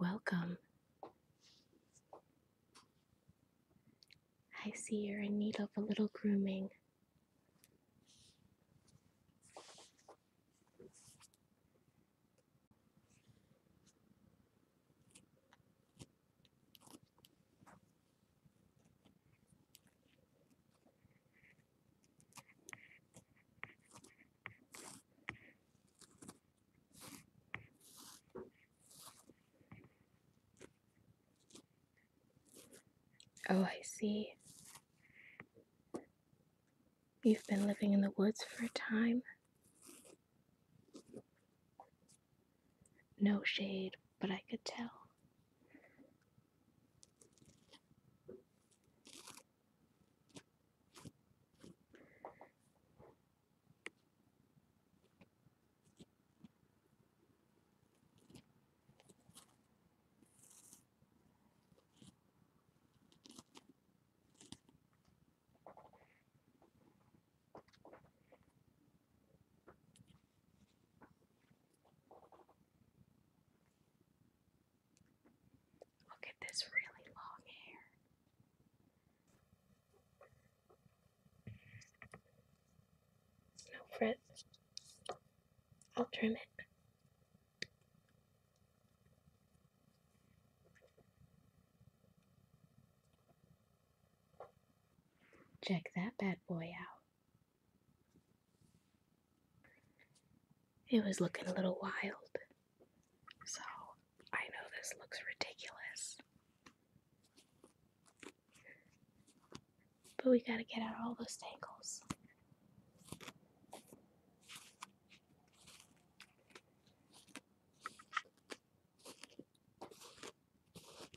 Welcome. I see you're in need of a little grooming. Oh, I see. You've been living in the woods for a time. No shade, but I could tell. Look at this really long hair. No frizz. I'll trim it. Check that bad boy out. It was looking a little wild. So I know this looks ridiculous. But we gotta get out all those tangles.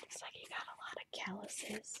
Looks like you got a lot of calluses.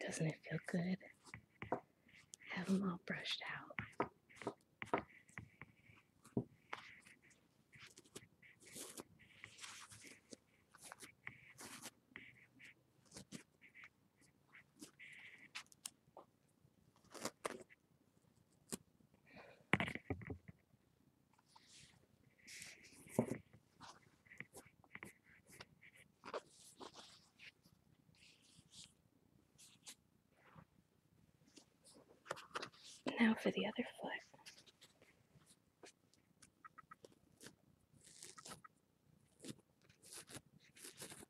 Doesn't it feel good? Have them all brushed out. Now for the other foot.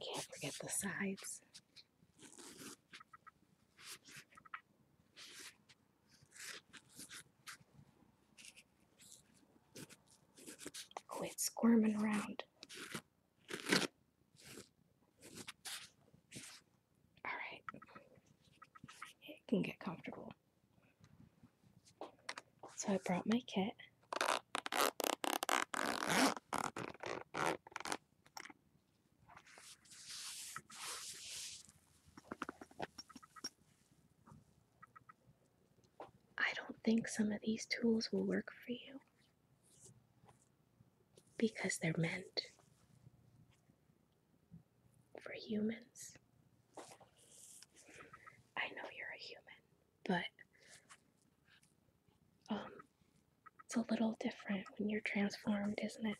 Can't forget the sides. Oh, squirming around. All right, it can get comfortable. So I brought my kit. I don't think some of these tools will work for you because they're meant for humans. I know you're a human, but um, it's a little different when you're transformed, isn't it?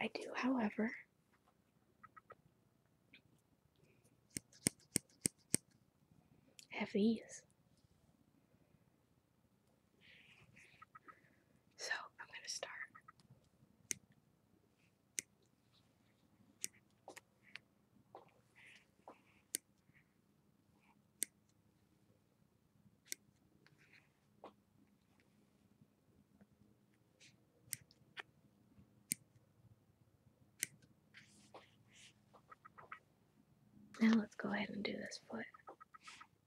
I do, however, have these. So I'm going to start. Now let's go ahead and do this foot.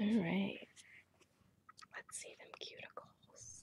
All right. Let's see them cuticles.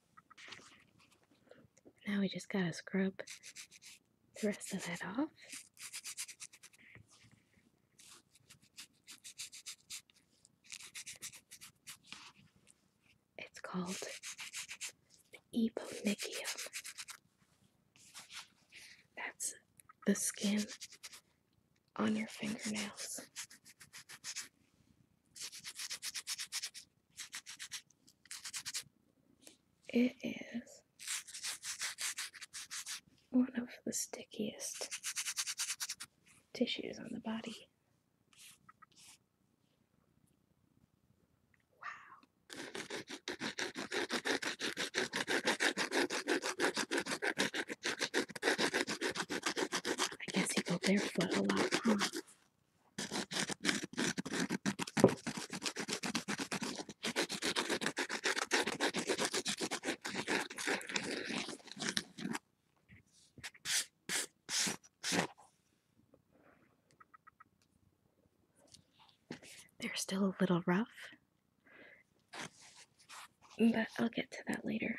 Now we just gotta scrub the rest of that off. It's called the epomychium. That's the skin on your fingernails. It is one of the stickiest tissues on the body. Wow. I guess he go barefoot a lot, huh? They're still a little rough, but I'll get to that later.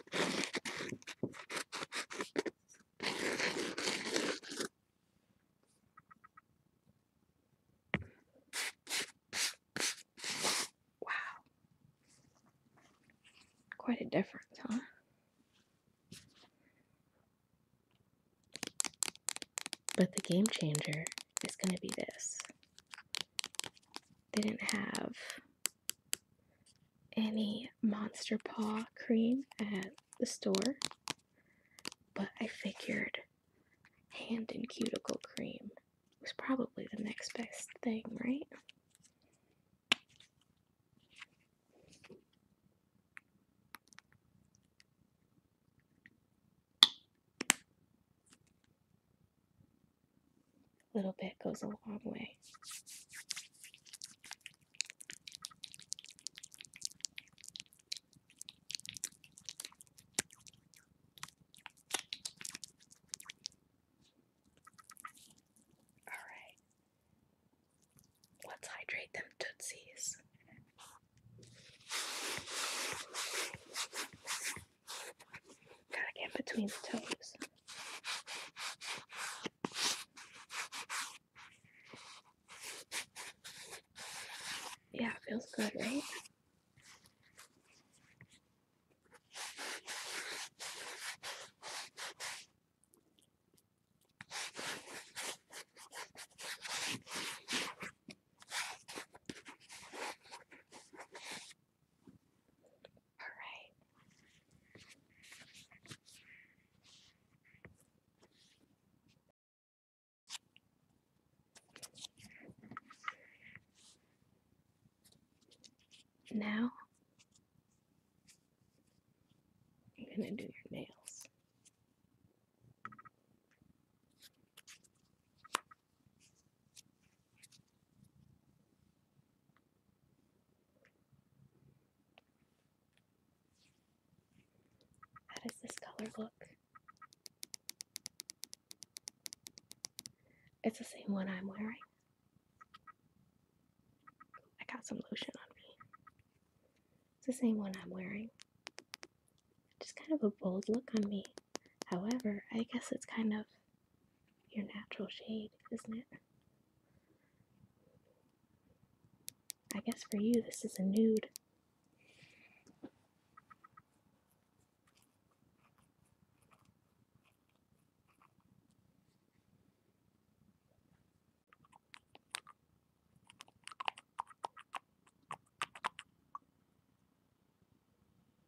Wow. Quite a difference, huh? But the game changer is going to be this. They didn't have any Monster Paw cream at the store, but I figured hand and cuticle cream was probably the next best thing, right? A little bit goes a long way. All right. Let's hydrate them tootsies. Gotta get between the toes. Yeah, it feels good, right? All right. Now I'm going to do your nails. How this color look? It's the same one I'm wearing. I got some lotion on me. It's the same one I'm wearing. Just kind of a bold look on me. However, I guess it's kind of your natural shade, isn't it? I guess for you, this is a nude.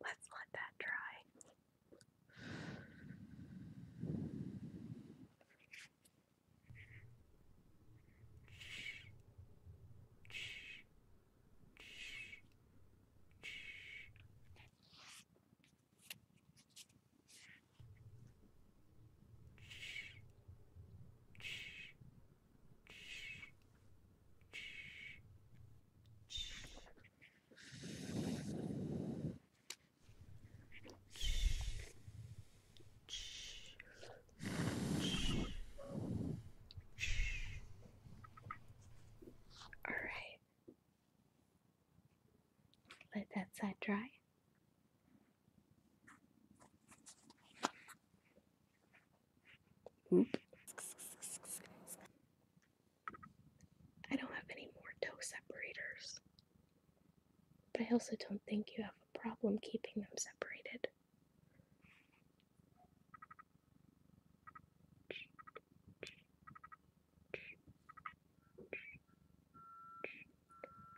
Let's let that dry. All right. Let that side dry. I don't have any more toe separators. But I also don't think you have a problem keeping them separated.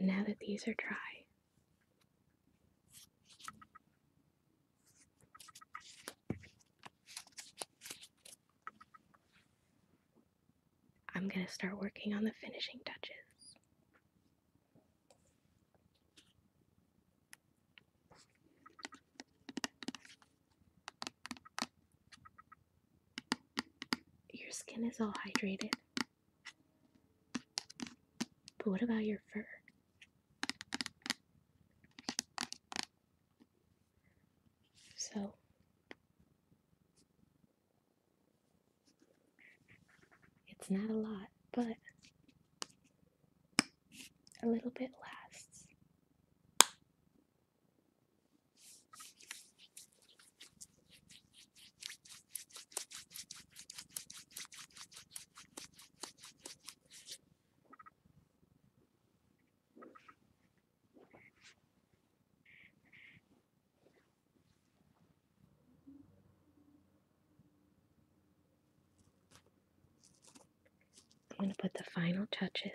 Now that these are dry, I'm going to start working on the finishing touches. Your skin is all hydrated. But what about your fur? So, it's not a lot, but a little bit lasts. I'm going to put the final touches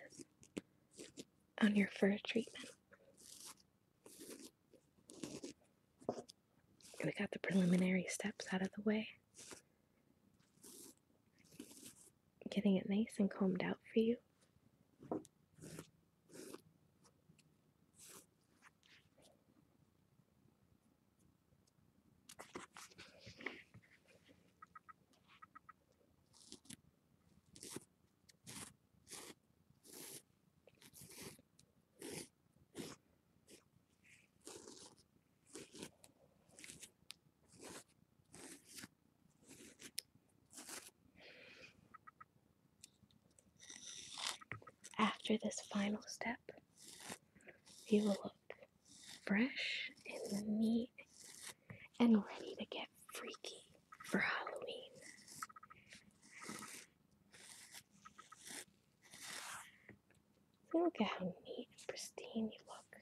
on your fur treatment. We got the preliminary steps out of the way getting it nice and combed out for you. After this final step, you will look fresh and neat and ready to get freaky for Halloween. look at how neat and pristine you look.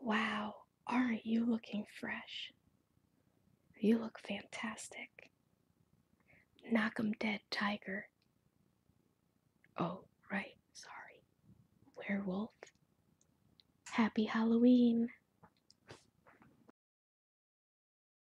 Wow, aren't you looking fresh? You look fantastic. Knock 'em dead, tiger. Oh, right, sorry. Werewolf. Happy Halloween.